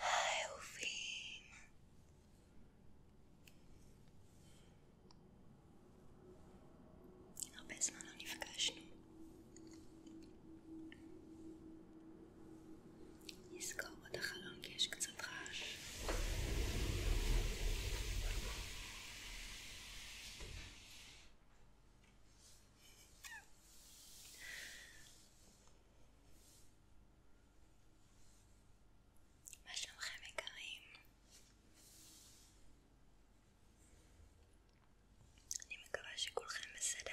היי אהובים הרבה זמן לא נפגשנו נסגור את החלון כי יש קצת רעש מה שלומכם יקרים? אני מקווה שכולכם בסדר.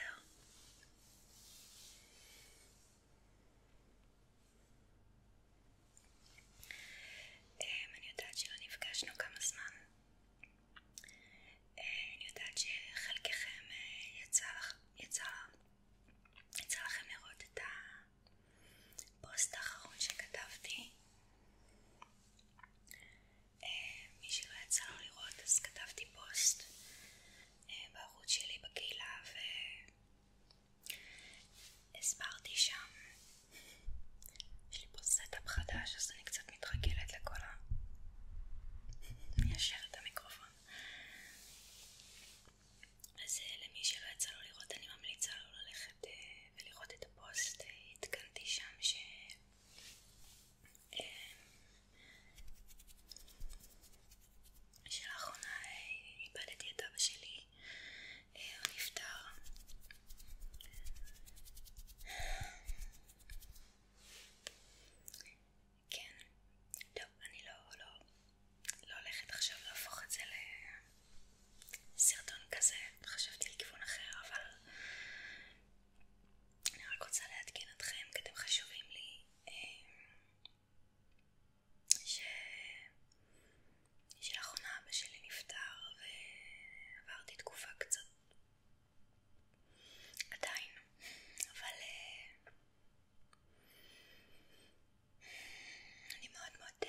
אמ, אני יודעת שלא נפגשנו כמה זמן אמ, אני יודעת שחלקכם אה, יצא, יצא, יצא לכם לראות את הפוסט האחרון שכתבתי אמ, מי שלא יצא לו לראות אז כתבתי פוסט בערוץ שלי בקהילה הסברתי שם, יש לי פה סטאפ חדש אז אני קצת מתרגלת לכל ה... מיישר את המיקרופון. אז אה, למי שלא יצא לו לראות, אני ממליצה לו ללכת אה, ולראות את הפוסט, התקנתי אה, שם ש... שלאחרונה איבדתי את אבא שלי הוא נפטר. כן, טוב, אני לא, לא, לא הולכת עכשיו להפוך את זה לסרטון כזה, חשבתי לכיוון אחר, אבל אני רק רוצה לעדכן אתכם, כי אתם חשובים לי, אה, ש... שלאחרונה אבא שלי נפטר ועברתי תקופה קצת עדיין, אבל uh, אני מאוד מאוד uh,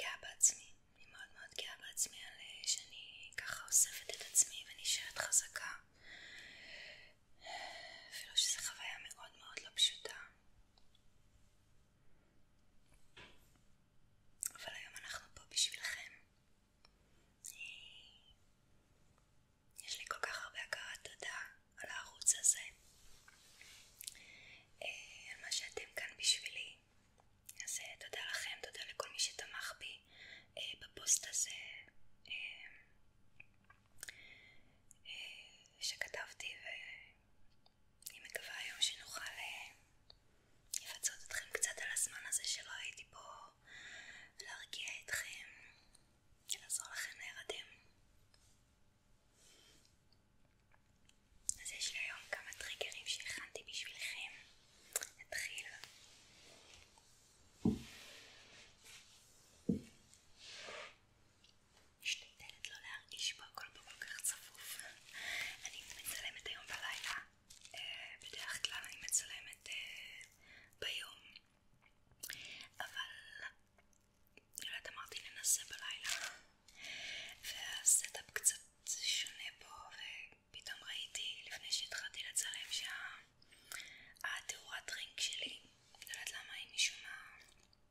גאה בעצמי, אני מאוד מאוד גאה בעצמי על uh, שאני ככה אוספת את עצמי ונשארת חזקה uh, אפילו שזו חוויה מאוד מאוד לא פשוטה אבל היום אנחנו פה בשבילכם. יש לי כל כך הרבה הכרת תודה על הערוץ הזה, אה, על מה שאתם כאן בשבילי. אז אה, תודה לכם, תודה לכל מי שתמך בי אה, בפוסט הזה שכתבתי אני מקווה היום שנוכל אה, לפצות אתכם קצת על הזמן הזה שלא הייתי פה להרגיע אתכם, לעזור לכם להירדם. אז יש לי היום כמה טריגרים שהכנתי בשבילכם. נתחיל. משתדלת לא להרגיש בהכל פה כל כך צפוף. אני מצלמת היום בלילה, אה, בדרך כלל אני מצלמת אה, ביום, אבל אני לא יודעת אמרתי ננסה בלילה, והסטאפ קצת שונה פה, ופתאום ראיתי לפני שהתחלתי לצלם שהתאורת רינק שלי, אני לא יודעת למה היא משום מה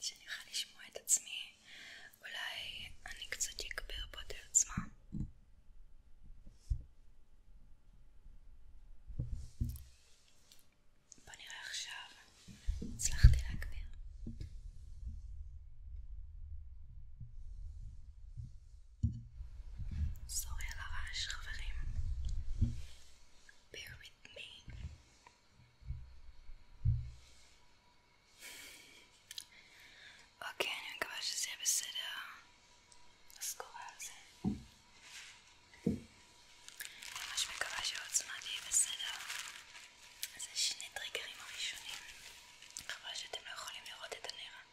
שאני אוכל לשמוע את עצמי, אולי אני קצת אגביר פה את העצמה. בוא נראה עכשיו, הצלחתי להגביר. סורי על הרעש חברים bear with me אוקיי, אני מקווה שזה יהיה בסדר אז קורא על זה ממש מקווה שהעוצמה תהיה בסדר אז זה שני טריגרים הראשונים חבל שאתם לא יכולים לראות את הנראה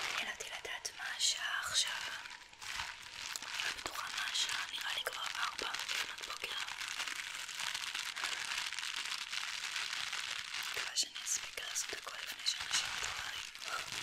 מעניין אותי לדעת מה השעה עכשיו. אני לא בטוחה מה השעה, נראה לי כבר ארבע לפנות בוקר. מקווה שאני אספיק לעשות הכל לפני שאנשים מתעוררים.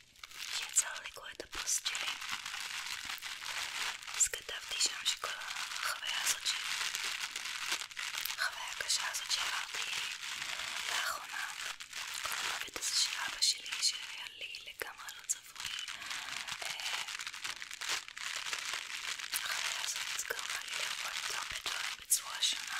שיצר לקרוא את הפוסט שלי אז כתבתי שם שכל החוויה הזאת ש... החוויה הקשה הזאת שעברתי לאחרונה כל המוות הזה של אבא שלי שהיה לי לגמרי לא צפוי החוויה הזאת גרמה לי לראות הרבה דברים בצורה שונה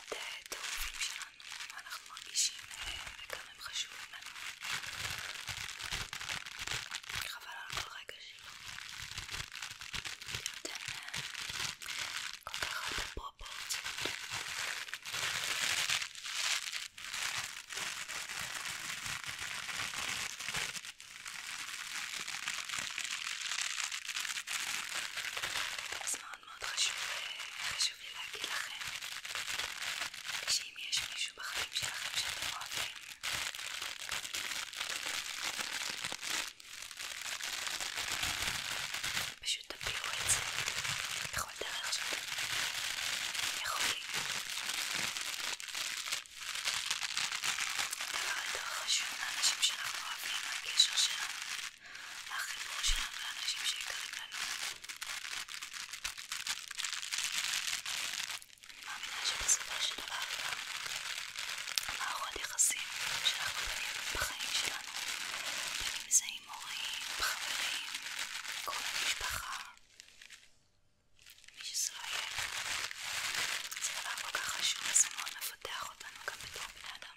את האהובים שלנו, מה אנחנו מרגישים וכמה אה, הם חשובים לנו. חבל על כל רגע שלו. זה אה, נותן כל כך הרבה פרופורציות. אז מאוד מאוד חשוב, אה, חשוב לי להגיד לכם שאם יש מישהו בחיים שלכם שאתם אוהבים פשוט תפילו את זה בכל דרך שאתם יכולים הדבר יותר חשוב לאנשים שאנחנו אוהבים, הקשר שלנו החיבור שלנו לאנשים שיקרים לנו. אני מאמינה שבסופו של דבר גם מערכות יחסים שאנחנו בונים בחיים שלנו, בין אם זה עם הורים, חברים, קרובי משפחה, מי שזה לא יהיה. זה דבר כל כך חשוב, זה מאוד מפתח אותנו גם בתור בני אדם.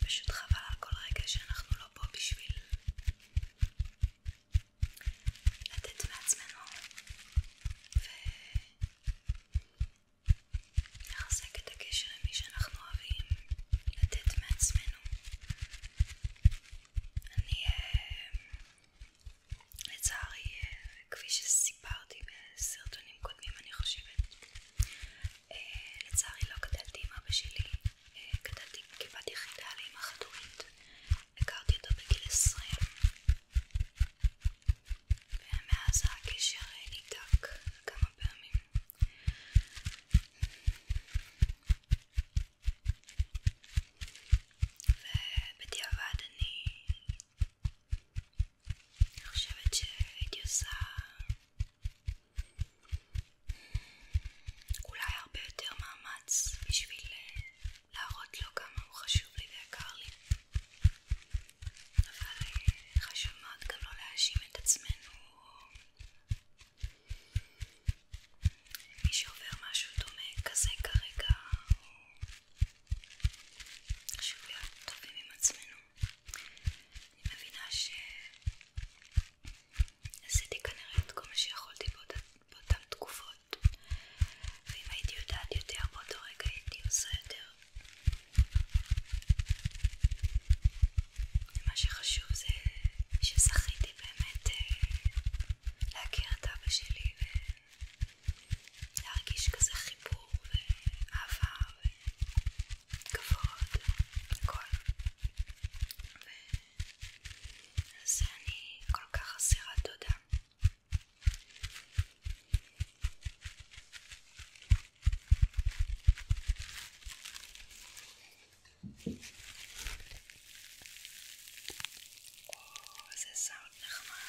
פשוט חבל על כל רגע שאנחנו לא פה בשביל לתת מעצמנו ולחזק את הקשר עם מי שאנחנו אוהבים, לתת מעצמנו. אני, אה, לצערי, אה, כפי שסיפרתי בסרטונים קודמים, אני חושבת אה, לצערי לא גדלתי עם אבא שלי, אה, גדלתי כבת יחידה לאמא חד-הורית, הכרתי אותו בגיל 20 ומאז הקשר אה, ניתק כמה פעמים ובדיעבד אני חושבת שהייתי עושה אולי הרבה יותר מאמץ בשביל אה, להראות לו כמה הוא חשוב לי ויקר לי אבל אה, חשוב מאוד גם לא להאשים את עצמנו מי שעובר משהו דומה כזה כרגע חשוב להיות טובים עם עצמנו אני מבינה שעשיתי כנראה את כל מה שיכולתי באותה, באותן תקופות ואם הייתי יודעת יותר באותו רגע הייתי עושה יותר מה שחשוב זה שזכיתי באמת אה, להכיר את אבא שלי ולהרגיש כזה חיבור ואהבה ו... כבוד, הכל. ועל זה אני כל כך אסירת תודה. או, איזה סאונד נחמד.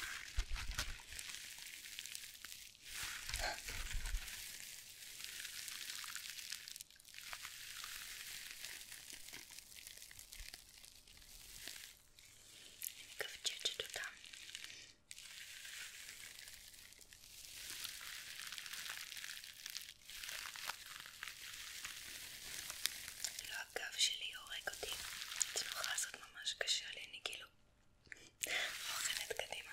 Gdzie, tu tam? כאילו הגב שלי הורג אותי, התנוחה הזאת ממש קשה לי, אני כאילו מוכנת קדימה.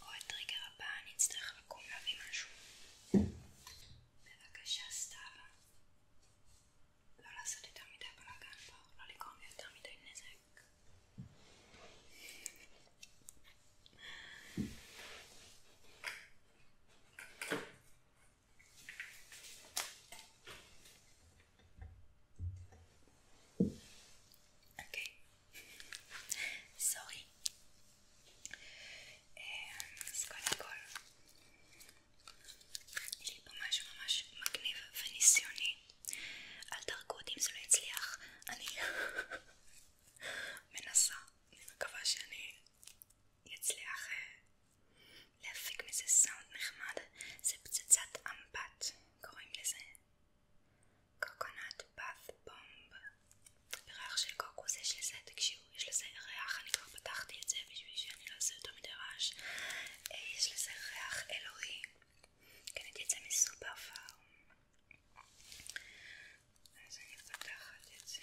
עוד רגע הבא אני אצטרך לקום להביא משהו. בבקשה סתיו, לא לעשות יותר מדי בלאגן פה, לא לגרום לי יותר מדי נזק. Okay. Sorry. אז קודם כל, יש לי פה משהו ממש מגניב וניסיוני. אל תרגו אותי אם זה לא יצליח. אני מנסה, אני מקווה שאני אצליח אה, להפיק מזה סאונד נחמד. זה פצצת אמבט, קוראים לזה. קוקונט פאף בומב בריח של קוקוס יש לזה, תקשיבו, יש לזה ריח, אני כבר פתחתי את זה בשביל שאני לא אעשה יותר מדי רעש אה, יש לזה ריח אלוהי קניתי כן, את זה מסופר פארם אז אני פותחת את זה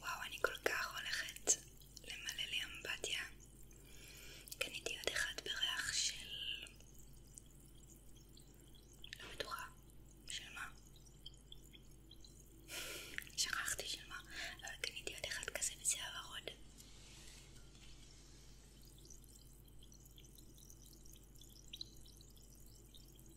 וואו, אני כל כך הולכת למלא לי אמבטיה. קניתי עוד אחד בריח של... לא בטוחה. של מה? שכחתי של מה, אבל קניתי עוד אחד כזה בצבע ורוד.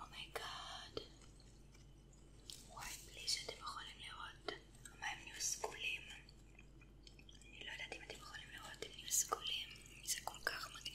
אומייגאד. Oh וואי, בלי שאתם יכולים לראות, המים נהיו סגולים. אני לא יודעת אם אתם יכולים לראות, הם נהיו סגולים. זה כל כך מגניב.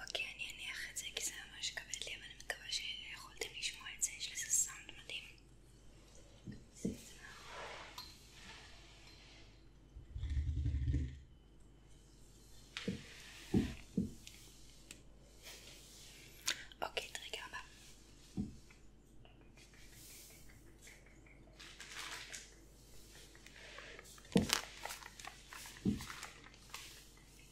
אוקיי, אני אניח את זה כי זה ממש כבד לי, אבל אני מקווה שיכולתם לשמוע את זה, יש לזה סאונד מדהים. אוקיי, טריגר הבא.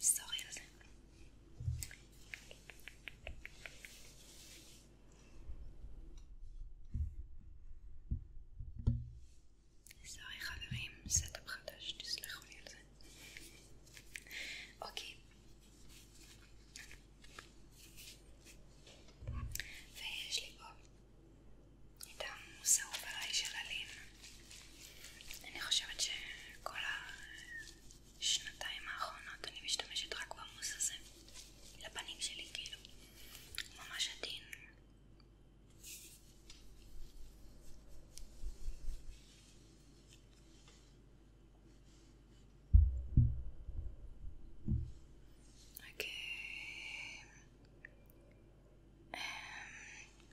סורי על זה. סורי חברים, סטאפ חדש, תסלחו לי על זה. אוקיי. ויש לי פה את המוס האהוב עליי של אלין אני חושבת שכל השנתיים האחרונות אני משתמשת רק במוס הזה לפנים שלי, כאילו הוא ממש עדין אוקיי okay. אמ, um,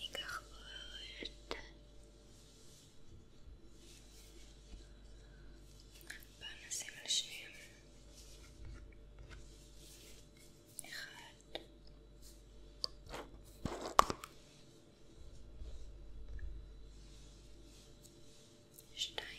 ניקח פרט ונשים על שניהם אחד שתיים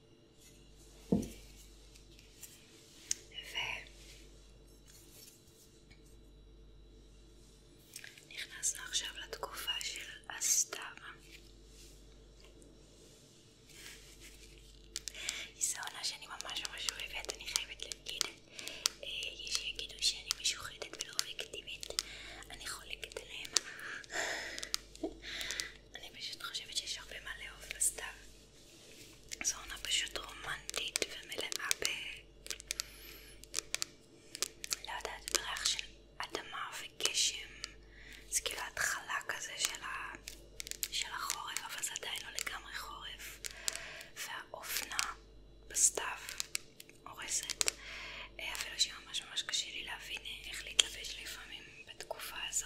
ונכנסנו עכשיו לתקופה של הסתיו. זו עונה שאני ממש ממש אוהבת, אני חייבת להגיד. אה, יש שיגידו שאני משוחדת ולא אובייקטיבית, אני חולקת עליהם. אני פשוט חושבת שיש הרבה מה לאהוב בסתיו. זו עונה פשוט רומנטית ומלאה ב... לא יודעת, בריח של אדמה וגשם. זה כאילו ההתחלה כזה של, ה... של החורף, אבל זה עדיין לא לגמרי חורף. והאופנה בסתיו הורסת. אה, אפילו שממש ממש קשה לי להבין איך להתלבש לפעמים בתקופה הזו.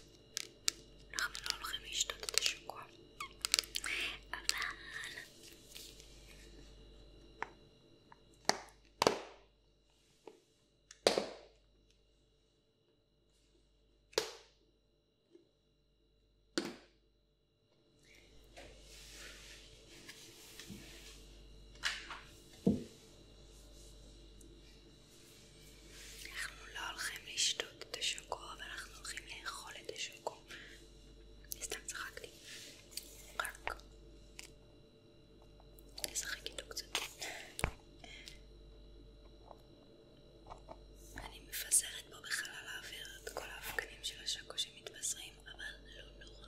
אנחנו לא הולכים לשתות את השוקו, אבל... אנחנו לא הולכים לשתות את השוקו, אבל אנחנו הולכים לאכול את השוקו. סתם צחקתי. רק. נשחק איתו קצת. אני מפזרת פה בחלל האוויר את כל האבקנים של השוקו שמתבזרים, אבל לא נורא.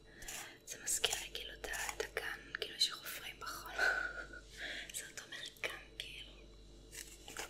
זה מזכיר לי כאילו את הגן, כאילו שחופרים בחול. זה אותו מרקם כאילו. דומה.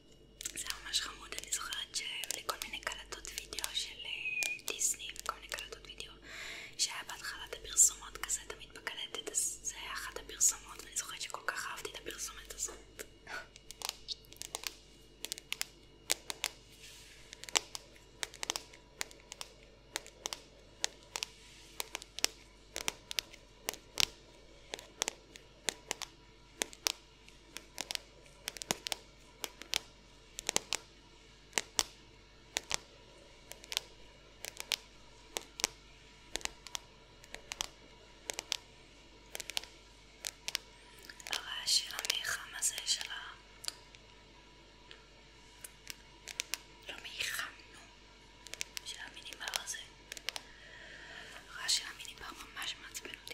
זה ממש חמוד, אני זוכרת שהיו לי כל מיני קלטות וידאו של אה, דיסני וכל מיני קלטות וידאו שהיה בהתחלת הפרסומות כזה תמיד בקלטת, אז זה היה אחת הפרסומות ואני זוכרת שכל כך אהבתי את הפרסומת הזאת הרעש של המיחם הזה של ה... לא מיחם, נו, של המיניבר הזה. הרעש של המיניבר ממש מעצבן אותי.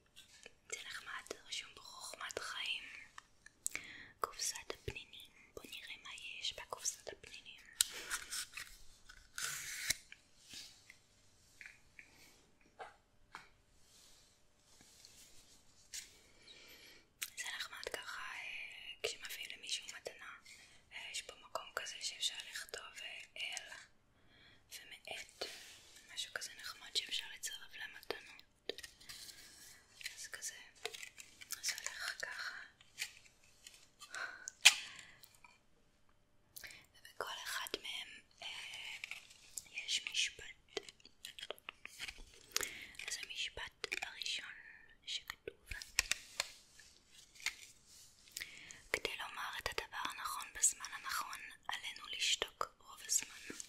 זה נחמד, רשום בחוכמת חיים קופסת הפנינים, בוא נראה מה יש בקופסת הפנינים זה נחמד ככה אה, כשמביאים למישהו מתנה אה, יש פה מקום כזה שאפשר לכתוב אה, אל ומעט משהו כזה נחמד שאפשר לצרף למתנות אז כזה, זה הולך ככה ובכל אחד מהם אה, יש משפט אז המשפט הראשון שכתוב כדי לומר את הדבר הנכון בזמן הנכון, עלינו לשתוק רוב הזמן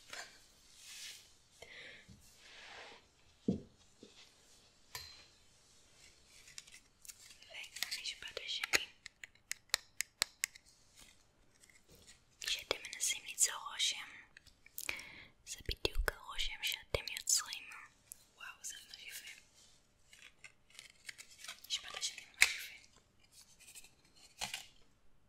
ונכניש בד השני כשאתם מנסים ליצור רושם זה בדיוק הרושם שאתם יוצרים וואו זה ממש יפה יש בד השני ממש יפה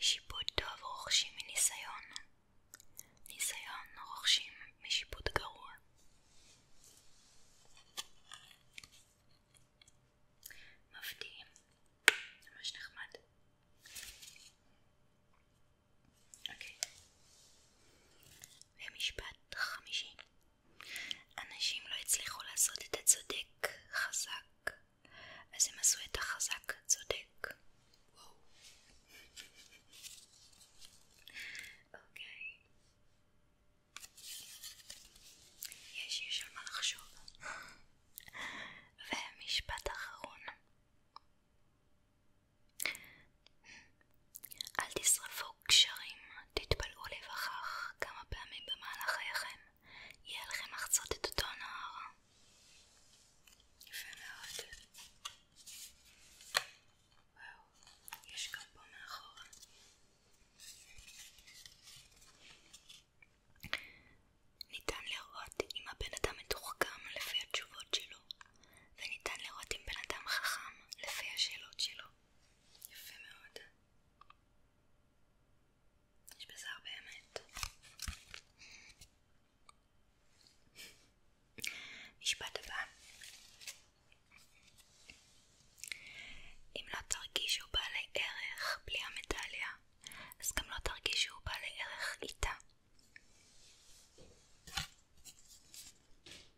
שיפוט טוב רוכשים מניסיון. ניסיון רוכשים משיפוט גרוע. מפתיעים. ממש נחמד. אוקיי. ומשפט חמישי. אנשים לא הצליחו לעשות את הצודק חזק, אז הם עשו את החזק צודק. וואו. אוקיי. יש, יש על מה לחשוב. ומשפט אחרון. אל תשרפו קשרים תתפלאו להיווכח כמה פעמים במהלך חייכם יהיה לכם לחצות את אותו נהר. יפה מאוד. וואו, יש גם פה מאחורה. ניתן לראות אם הבן אדם מתוחכם לפי התשובות שלו, וניתן לראות אם בן אדם חכם לפי השאלות שלו. יפה מאוד. יש בזה הרבה אמת. משפט הבא אם לא תרגישו בעלי ערך בלי המדליה, אז גם לא תרגישו בעלי ערך איתה.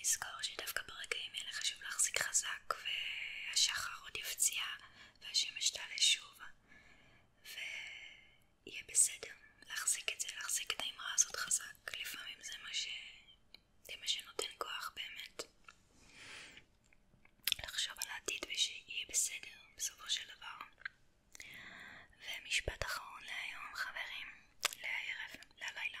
לזכור שדווקא ברגעים האלה חשוב להחזיק חזק והשחר עוד יפציע והשמש תעלה שוב ויהיה בסדר להחזיק את זה, להחזיק את האמרה הזאת חזק לפעמים זה מה, ש... זה מה שנותן כוח באמת לחשוב על העתיד ושיהיה בסדר בסופו של דבר ומשפט אחרון להיום חברים, לערב, ללילה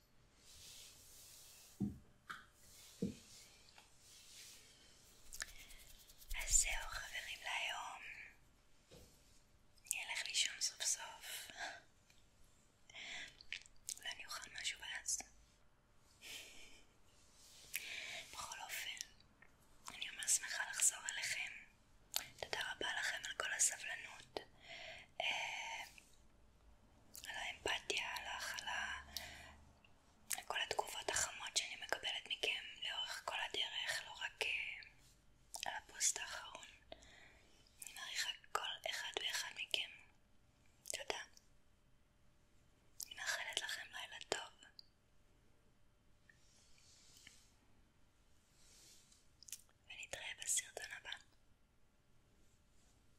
אז זהו חברים להיום, אני אלך לישון סוף סוף, אולי אני אוכל משהו ואז. בכל אופן, אני ממש שמחה לחזור אליכם, תודה רבה לכם על כל הסבלנות. אה, על האמפתיה, על ההכלה, על כל התגובות החמות שאני מקבלת מכם לאורך כל הדרך, לא רק אה, על הפוסט האחרון. אני מעריכה כל אחד ואחד מכם. תודה. אני מאחלת לכם לילה טוב. ונתראה בסרטון הבא.